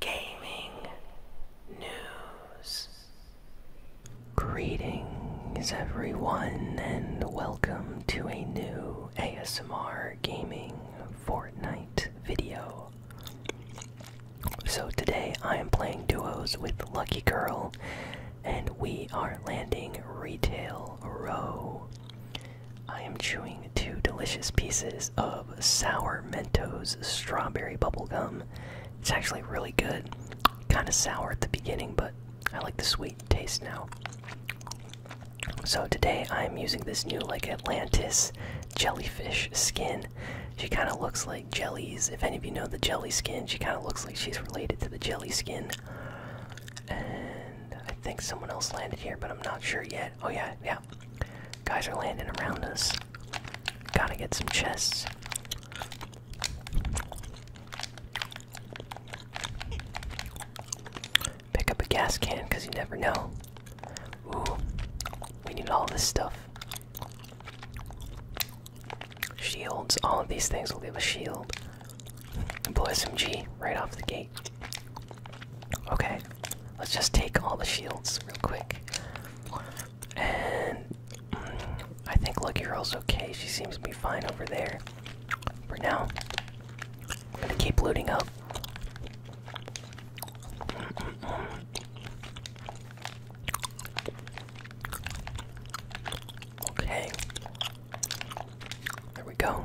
gaming news. Greetings, everyone, and welcome to a new ASMR Gaming Fortnite video. So, today I am playing duos with Lucky Girl, and we are landing Retail Row. I am chewing two delicious pieces of sour Mentos strawberry bubblegum. It's actually really good. Kind of sour at the beginning, but I like the sweet taste now. So today I'm using this new like Atlantis jellyfish skin. She kind of looks like jellies. If any of you know the jelly skin, she kind of looks like she's related to the jelly skin. And I think someone else landed here, but I'm not sure yet. Oh yeah, yeah, Guys are landing around us. Gotta get some chests. Pick up a gas can because you never know. Ooh, we need all this stuff. Shields, all of these things will give a shield. Blue SMG right off the gate. Okay, let's just take all the shields real quick. And mm, I think Lucky Girl's okay. She seems to be fine over there for now. I'm gonna keep looting up. Okay. There we go.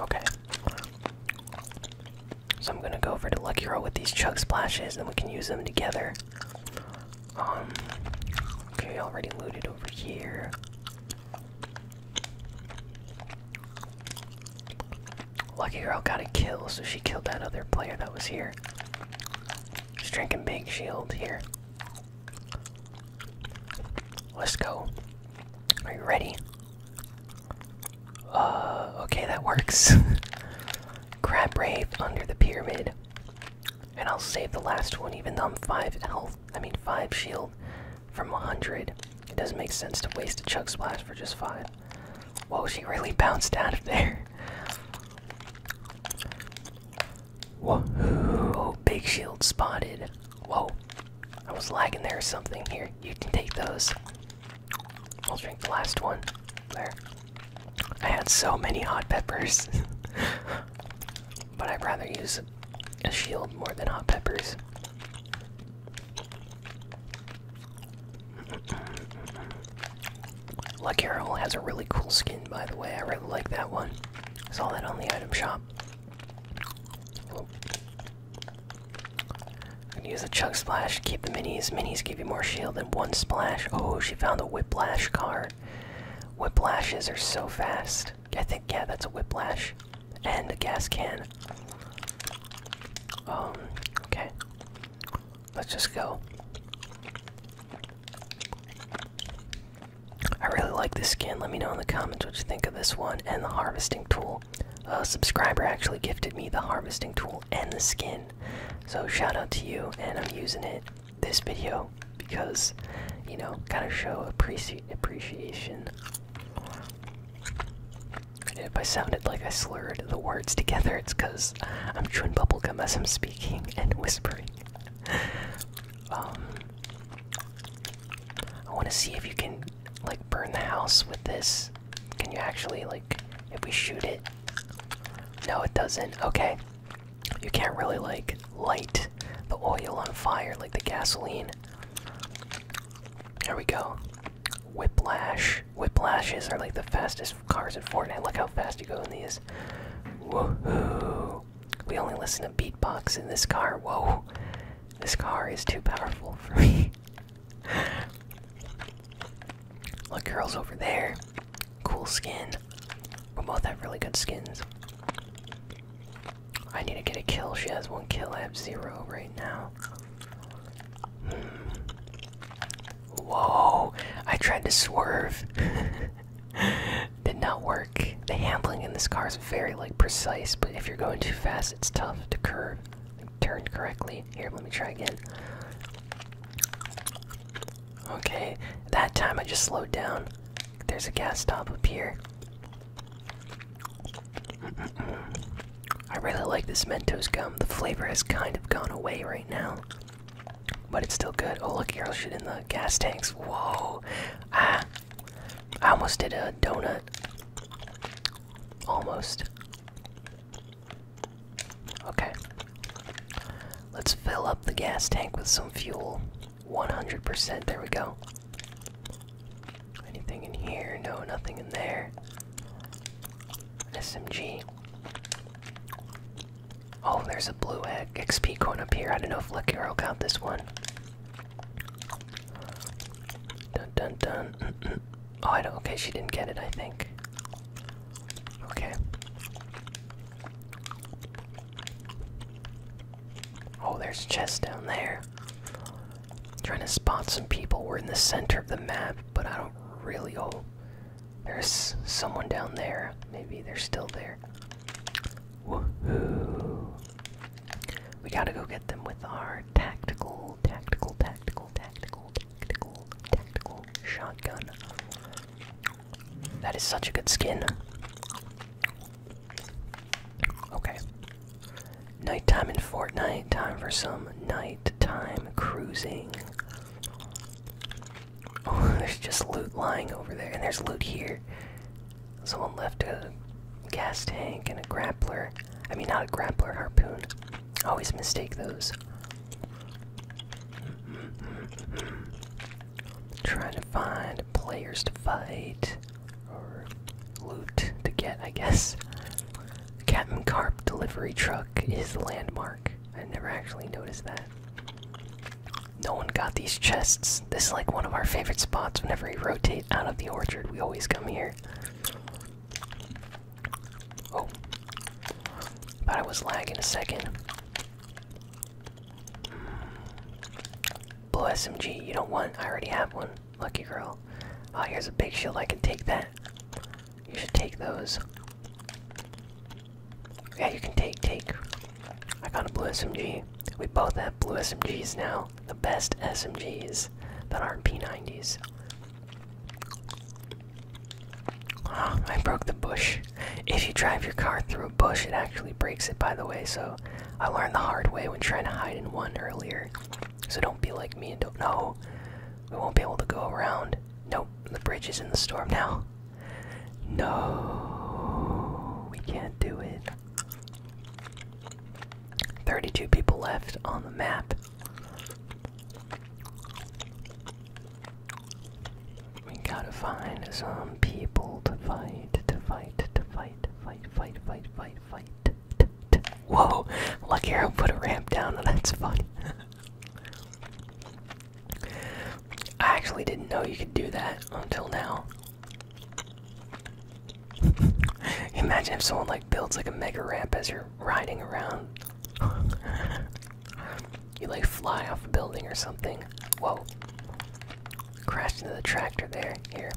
Okay. So I'm gonna go over to Lucky Girl with these chug splashes, and we can use them together. Um, okay, already looted over here. Lucky girl got a kill, so she killed that other player that was here. She's drinking big shield here. Let's go. Are you ready? Uh, okay, that works. Crab Wraith under the pyramid. And I'll save the last one, even though I'm 5 health, I mean 5 shield from 100. It doesn't make sense to waste a Chug Splash for just 5. Whoa, she really bounced out of there. Whoa, big shield spotted. Whoa, I was lagging there or something. Here, you can take those. I'll drink the last one. There. I had so many hot peppers. but I'd rather use a shield more than hot peppers. Lucky Owl has a really cool skin, by the way. I really like that one. I saw that on the item shop use a chug splash to keep the minis. Minis give you more shield than one splash. Oh, she found a whiplash card. Whiplashes are so fast. I think yeah, that's a whiplash, and a gas can. Um. Okay. Let's just go. I really like this skin. Let me know in the comments what you think of this one and the harvesting tool. A subscriber actually gifted me the harvesting tool and the skin. So shout out to you, and I'm using it this video because, you know, gotta show appreci appreciation. If I sounded like I slurred the words together, it's because I'm chewing bubblegum as I'm speaking and whispering. Um, I want to see if you can like burn the house with this. Can you actually like if we shoot it? No, it doesn't. Okay. You can't really like light the oil on fire like the gasoline. There we go. Whiplash. Whiplashes are like the fastest cars in Fortnite. Look how fast you go in these. Woohoo. We only listen to beatbox in this car. Whoa, this car is too powerful for me. Look, girls over there. Cool skin. We both have really good skins. I need to get a kill. She has one kill. I have zero right now. Hmm. Whoa! I tried to swerve. did not work. The handling in this car is very like precise, but if you're going too fast, it's tough to curve, like, turn correctly. Here, let me try again. Okay, that time I just slowed down. There's a gas stop up here. I really like this Mentos gum. The flavor has kind of gone away right now, but it's still good. Oh, look, arrow shooting in gas tanks. Whoa! Ah, I almost did a donut. Almost. Okay. Let's fill up the gas tank with some fuel. 100%. There we go. Anything in here? No, nothing in there. SMG. Oh, there's a blue egg XP coin up here. I don't know if Lucky Girl got this one. Dun dun dun. Oh, I don't. Okay, she didn't get it. I think. Okay. Oh, there's chests down there. trying to spot some people. We're in the center of the map, but I don't really. Oh, there's someone down there. Maybe they're still there. We gotta go get them with our tactical, tactical, tactical, tactical, tactical, tactical shotgun. That is such a good skin. Okay. Nighttime in Fortnite, time for some nighttime cruising. Oh, there's just loot lying over there, and there's loot here. Someone left a gas tank and a grappler. I mean, not a grappler, harpoon. always mistake those. Trying to find players to fight, or loot to get, I guess. Captain Carp delivery truck is the landmark. I never actually noticed that. No one got these chests. This is like one of our favorite spots. Whenever we rotate out of the orchard, we always come here. Oh. Thought I was lagging a second. Blue SMG, you don't want? I already have one. Lucky girl. Oh, here's a big shield. I can take that. You should take those. Yeah, you can take, take. I got a blue SMG. We both have blue SMGs now. The best SMGs that aren't P90s. Ah, I broke the bush. If you drive your car through a bush, it actually breaks it, by the way, so I learned the hard way when trying to hide in one earlier. So don't be like me and don't know. We won't be able to go around. Nope, the bridge is in the storm now. No, we can't do it. 32 people left on the map. We gotta find some people to fight, to fight, to fight, fight, fight, fight, fight, fight. Whoa! Lucky Arrow put a ramp down, that's funny. I actually didn't know you could do that until now. Imagine if someone like builds like a mega ramp as you're riding around. you like fly off a building or something. Whoa. Crashed into the tractor there. Here.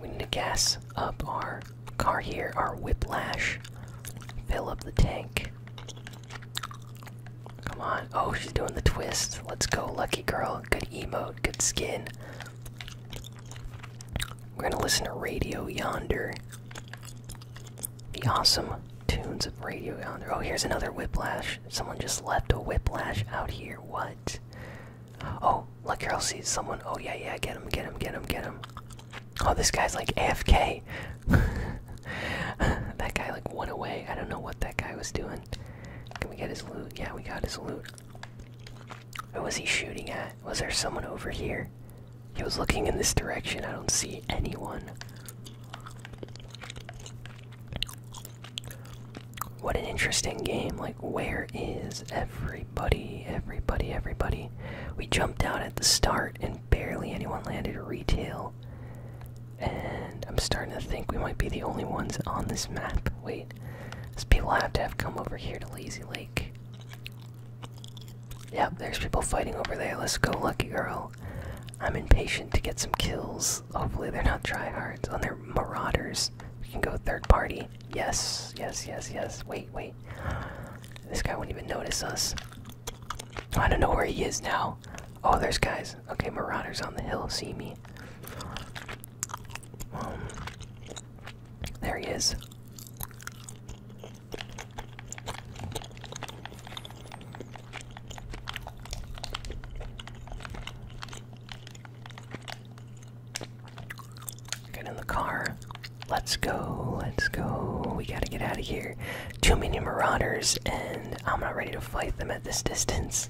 We need to gas up our car here, our whiplash. Fill up the tank. Come on. Oh, she's doing the twist. Let's go, lucky girl. Good emote, good skin. We're gonna listen to Radio Yonder. The awesome tunes of Radio Yonder. Oh, here's another whiplash. Someone just left a whiplash out here. What? Oh, lucky girl see someone. Oh, yeah, yeah, get him, get him, get him, get him. Oh, this guy's like AFK. that guy like went away. I don't know what that guy was doing. Can we get his loot? Yeah, we got his loot. Who was he shooting at? Was there someone over here? He was looking in this direction. I don't see anyone. What an interesting game. Like, where is everybody? Everybody, everybody. We jumped out at the start and barely anyone landed. Retail and I'm starting to think we might be the only ones on this map. Wait, these people have to have come over here to Lazy Lake. Yep, there's people fighting over there. Let's go, lucky girl. I'm impatient to get some kills. Hopefully, they're not tryhards. On their marauders, we can go third party. Yes, yes, yes, yes. Wait, wait. This guy won't even notice us. I don't know where he is now. Oh, there's guys. Okay, Marauders on the hill see me. Um, there he is. Get in the car. Let's go. Let's go. We gotta get out of here too many marauders, and I'm not ready to fight them at this distance.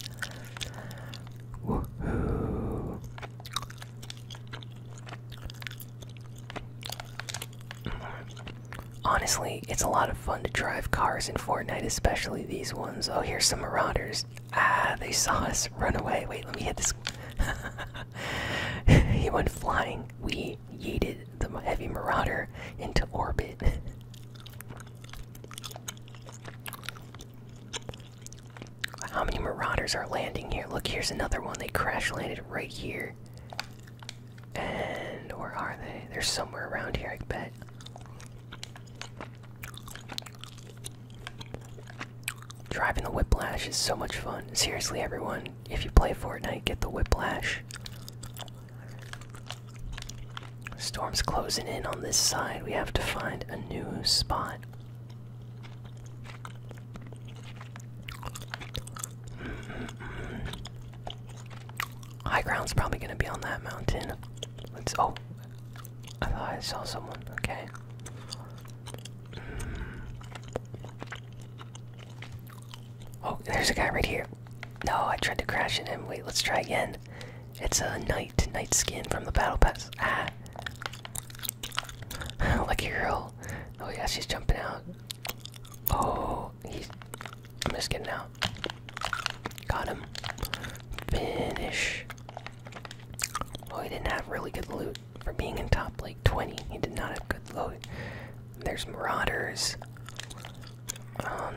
Honestly, it's a lot of fun to drive cars in Fortnite, especially these ones. Oh, here's some marauders. Ah, they saw us. Run away. Wait, let me hit this. he went flying. We yeeted the heavy marauder into orbit. How many marauders are landing here? Look, here's another one. They crash landed right here. And where are they? They're somewhere around here, I bet. Driving the whiplash is so much fun. Seriously, everyone, if you play Fortnite, get the whiplash. Storm's closing in on this side. We have to find a new spot. High ground's probably gonna be on that mountain. Let's. Oh, I thought I saw someone. Okay. Oh, there's a guy right here. No, I tried to crash in him. Wait, let's try again. It's a knight, knight skin from the battle pass. Ah. Lucky girl. Oh yeah, she's jumping out. Oh, he's. I'm just getting out. Got him. Finish. Oh, he didn't have really good loot for being in top like 20. He did not have good loot. There's marauders. Um,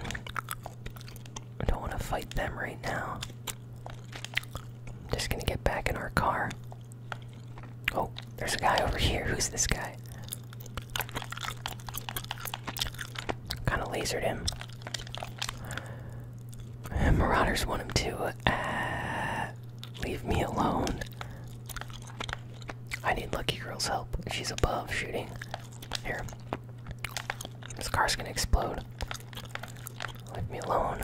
I don't want to fight them right now. I'm just gonna get back in our car. Oh, there's a guy over here. Who's this guy? Kind of lasered him. marauders want him to uh, leave me alone. I need Lucky Girl's help. She's above shooting. Here. This car's gonna explode. Leave me alone.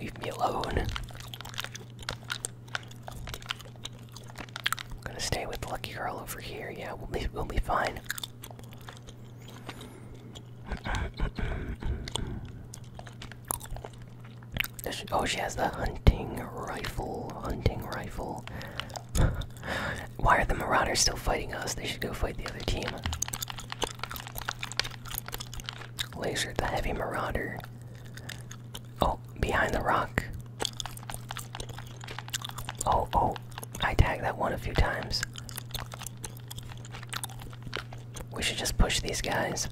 Leave me alone. I'm gonna stay with Lucky Girl over here. Yeah, we'll be, we'll be fine. Oh, she has the hunting rifle. Hunting rifle. Why are the Marauders still fighting us? They should go fight the other team. Laser the heavy Marauder. Oh, behind the rock. Oh, oh. I tagged that one a few times. We should just push these guys.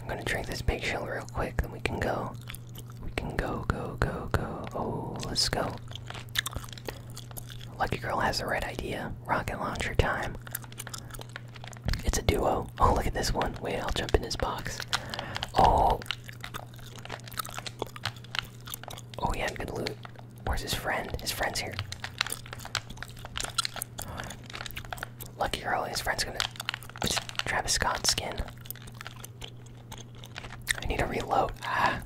I'm gonna drink this big shell real quick, then we can go. We can go, go, go, go. Oh, let's go. Lucky Girl has the right idea. Rocket launcher time. It's a duo. Oh, look at this one. Wait, I'll jump in his box. Oh. Oh, yeah, good loot. Where's his friend? His friend's here. Lucky girl, his friend's gonna. It's Travis Scott skin. I need to reload. Ah,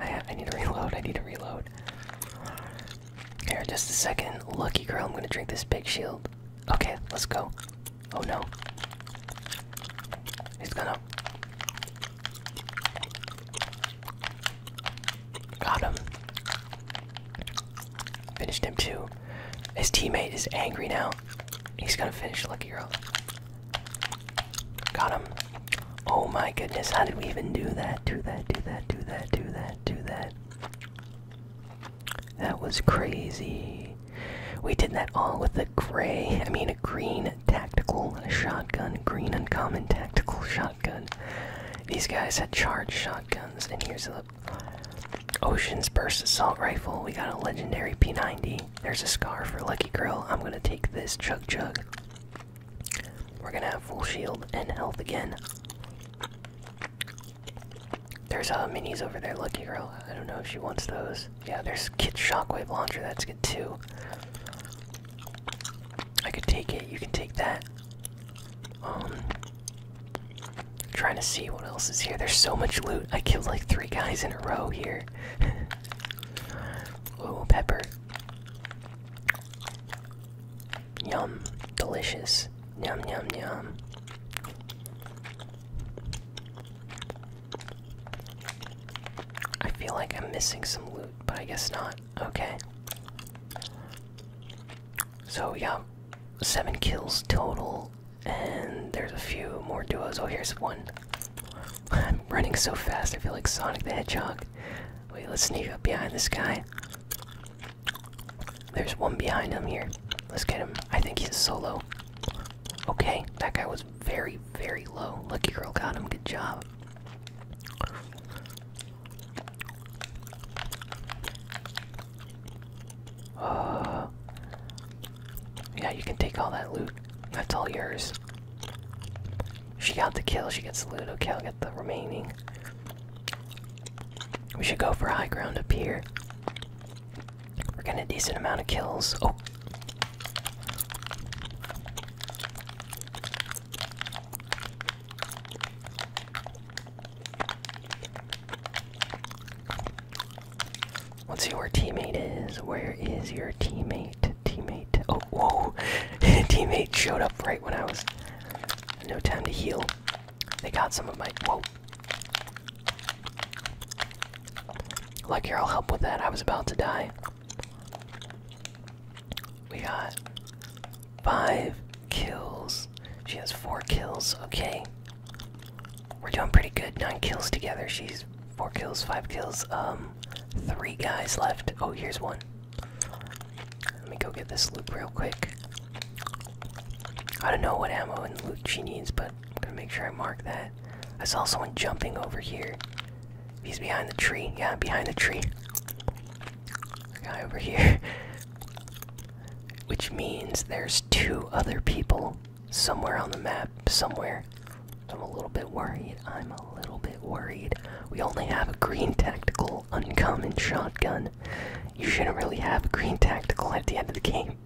I, need to reload. I need to reload. Here, just a second. Lucky girl, I'm gonna drink this big shield. Okay, let's go. Oh no. He's gonna. Got him. Finished him too. His teammate is angry now. He's gonna finish Lucky Girl. Got him. Oh my goodness, how did we even do that? Do that, do that, do that, do that, do that. That was crazy. We did that all with a gray, I mean a green tactical shotgun, green uncommon tactical shotgun. Good. These guys had charged shotguns, and here's the Ocean's Burst Assault Rifle. We got a legendary P90. There's a scar for Lucky Girl. I'm gonna take this Chug Chug. We're gonna have full shield and health again. There's a uh, minis over there, Lucky Girl. I don't know if she wants those. Yeah, there's Kid Shockwave Launcher. That's good too. I could take it. You can take that. Um, trying to see what else is here. There's so much loot. I killed like three guys in a row here. Oh, pepper. Yum, delicious. Yum, yum, yum. I feel like I'm missing some loot, but I guess not. Okay. So yeah, seven kills total, and there's a few more duos. Oh, here's one. I'm running so fast. I feel like Sonic the Hedgehog. Wait, let's sneak up behind this guy. There's one behind him here. Let's get him. I think he's solo. Okay, that guy was very, very low. Lucky girl got him. Good job. yeah, you can take all that loot. That's all yours. She got the kill, she gets the loot. Okay, I'll get the remaining. We should go for high ground up here. We're getting a decent amount of kills. Oh! Let's see where teammate is. Where is your teammate? Teammate. Oh, whoa! teammate showed up right when I was. No time to heal. They got some of my. Whoa! Look here, I'll help with that. I was about to die. We got five kills. She has four kills. Okay. We're doing pretty good. Nine kills together. She's four kills, five kills. Um, three guys left. Oh, here's one. Let me go get this loot real quick. I don't know what ammo and loot she needs, but I'm gonna make sure I mark that. I saw someone jumping over here. He's behind the tree. Yeah, behind the tree guy over here. Which means there's two other people somewhere on the map, somewhere. I'm a little bit worried. I'm a little bit worried. We only have a green tactical uncommon shotgun. You shouldn't really have a green tactical at the end of the game.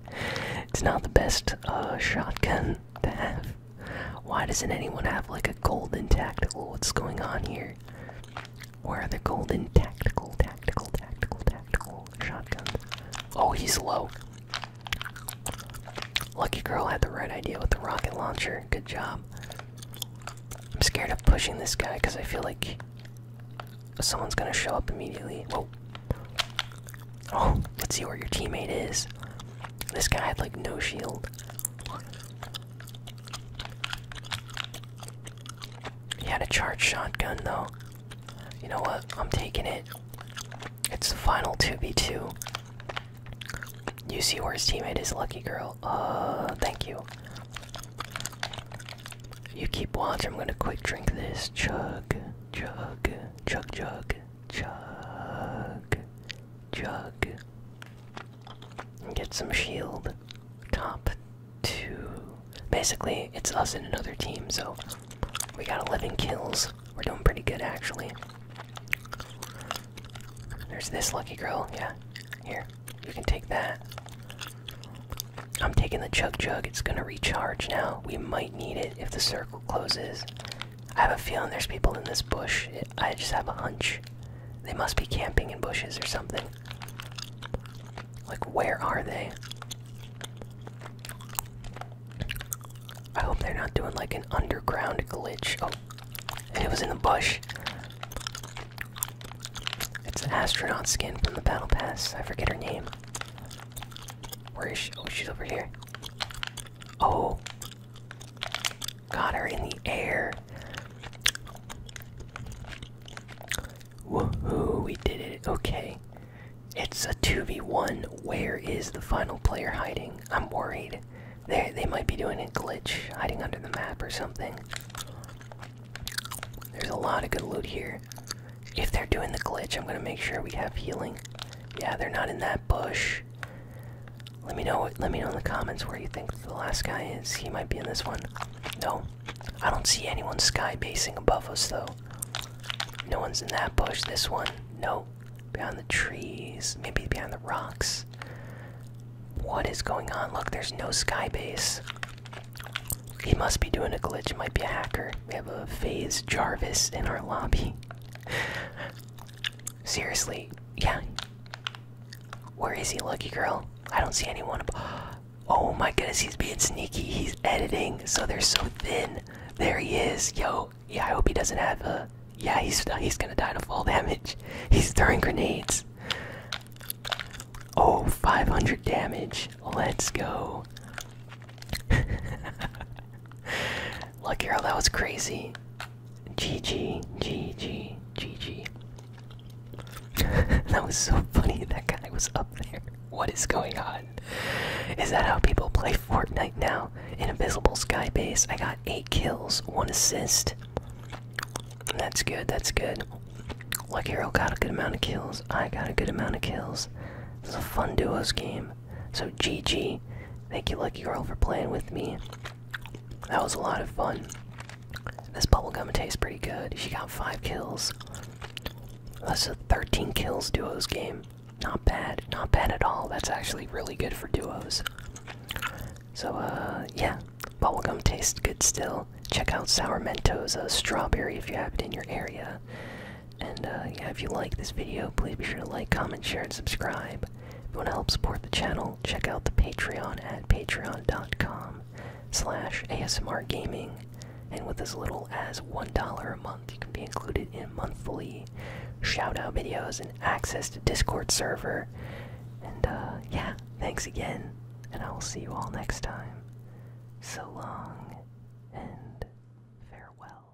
It's not the best uh, shotgun to have. Why doesn't anyone have like a golden tactical? What's going on here? Where are the golden tactical, tactical, tactical, tactical shotguns? Oh, he's low. Lucky girl had the right idea with the rocket launcher. Good job. I'm scared of pushing this guy because I feel like someone's gonna show up immediately. Whoa. Oh, let's see where your teammate is. This guy had like no shield. He had a charged shotgun though. You know what? I'm taking it. It's the final 2v2. You see where his teammate is, Lucky Girl. Uh, thank you. You keep watching. I'm gonna quick drink this. Chug, chug, chug, chug, chug, chug. Get some shield. Top two. Basically, it's us and another team, so we got 11 kills. We're doing pretty good, actually. There's this lucky girl. Yeah. Here. You can take that. I'm taking the chug jug. It's gonna recharge now. We might need it if the circle closes. I have a feeling there's people in this bush. I just have a hunch. They must be camping in bushes or something. Like, where are they? I hope they're not doing like an underground glitch. Oh, and it was in the bush. It's an astronaut skin from the Battle Pass. I forget her name. Where is she? Oh, she's over here. Oh, Got her in the air. Woohoo, we did it. Okay. It's a 2v1. Where is the final player hiding? I'm worried. They, they might be doing a glitch, hiding under the map or something. There's a lot of good loot here. If they're doing the glitch, I'm gonna make sure we have healing. Yeah, they're not in that bush. Let me know. Let me know in the comments where you think the last guy is. He might be in this one. No, I don't see anyone sky basing above us though. No one's in that bush. This one. No. Behind the trees. Maybe behind the rocks. What is going on? Look, there's no sky base. He must be doing a glitch. It might be a hacker. We have a phase Jarvis in our lobby. Seriously, yeah. Where is he, lucky girl? I don't see anyone. Oh my goodness, he's being sneaky. He's editing, so they're so thin. There he is, yo. Yeah, I hope he doesn't have a. Yeah, he's he's gonna die to fall damage. He's throwing grenades. Oh, 500 damage. Let's go. Lucky girl, that was crazy. G G G G G G. that was so funny. That guy was up there. What is going on? Is that how people play Fortnite now? An invisible sky base. I got eight kills, one assist. That's good. That's good. Luck Hero got a good amount of kills. I got a good amount of kills. This is a fun duos game. So GG. Thank you, Lucky Girl, for playing with me. That was a lot of fun. This bubblegum tastes pretty good. She got five kills. That's a 13 kills duos game. Not bad. Not bad at all. That's actually really good for duos. So, uh, yeah. Bubblegum tastes good still. Check out Sour Mentos uh, Strawberry if you have it in your area. And, uh, yeah, if you like this video, please be sure to like, comment, share, and subscribe. If you want to help support the channel, check out the Patreon at patreon.com slash ASMR Gaming. And with as little as $1 a month, you can be included in monthly shoutout videos and access to Discord server. And uh, yeah, thanks again, and I will see you all next time. So long, and farewell.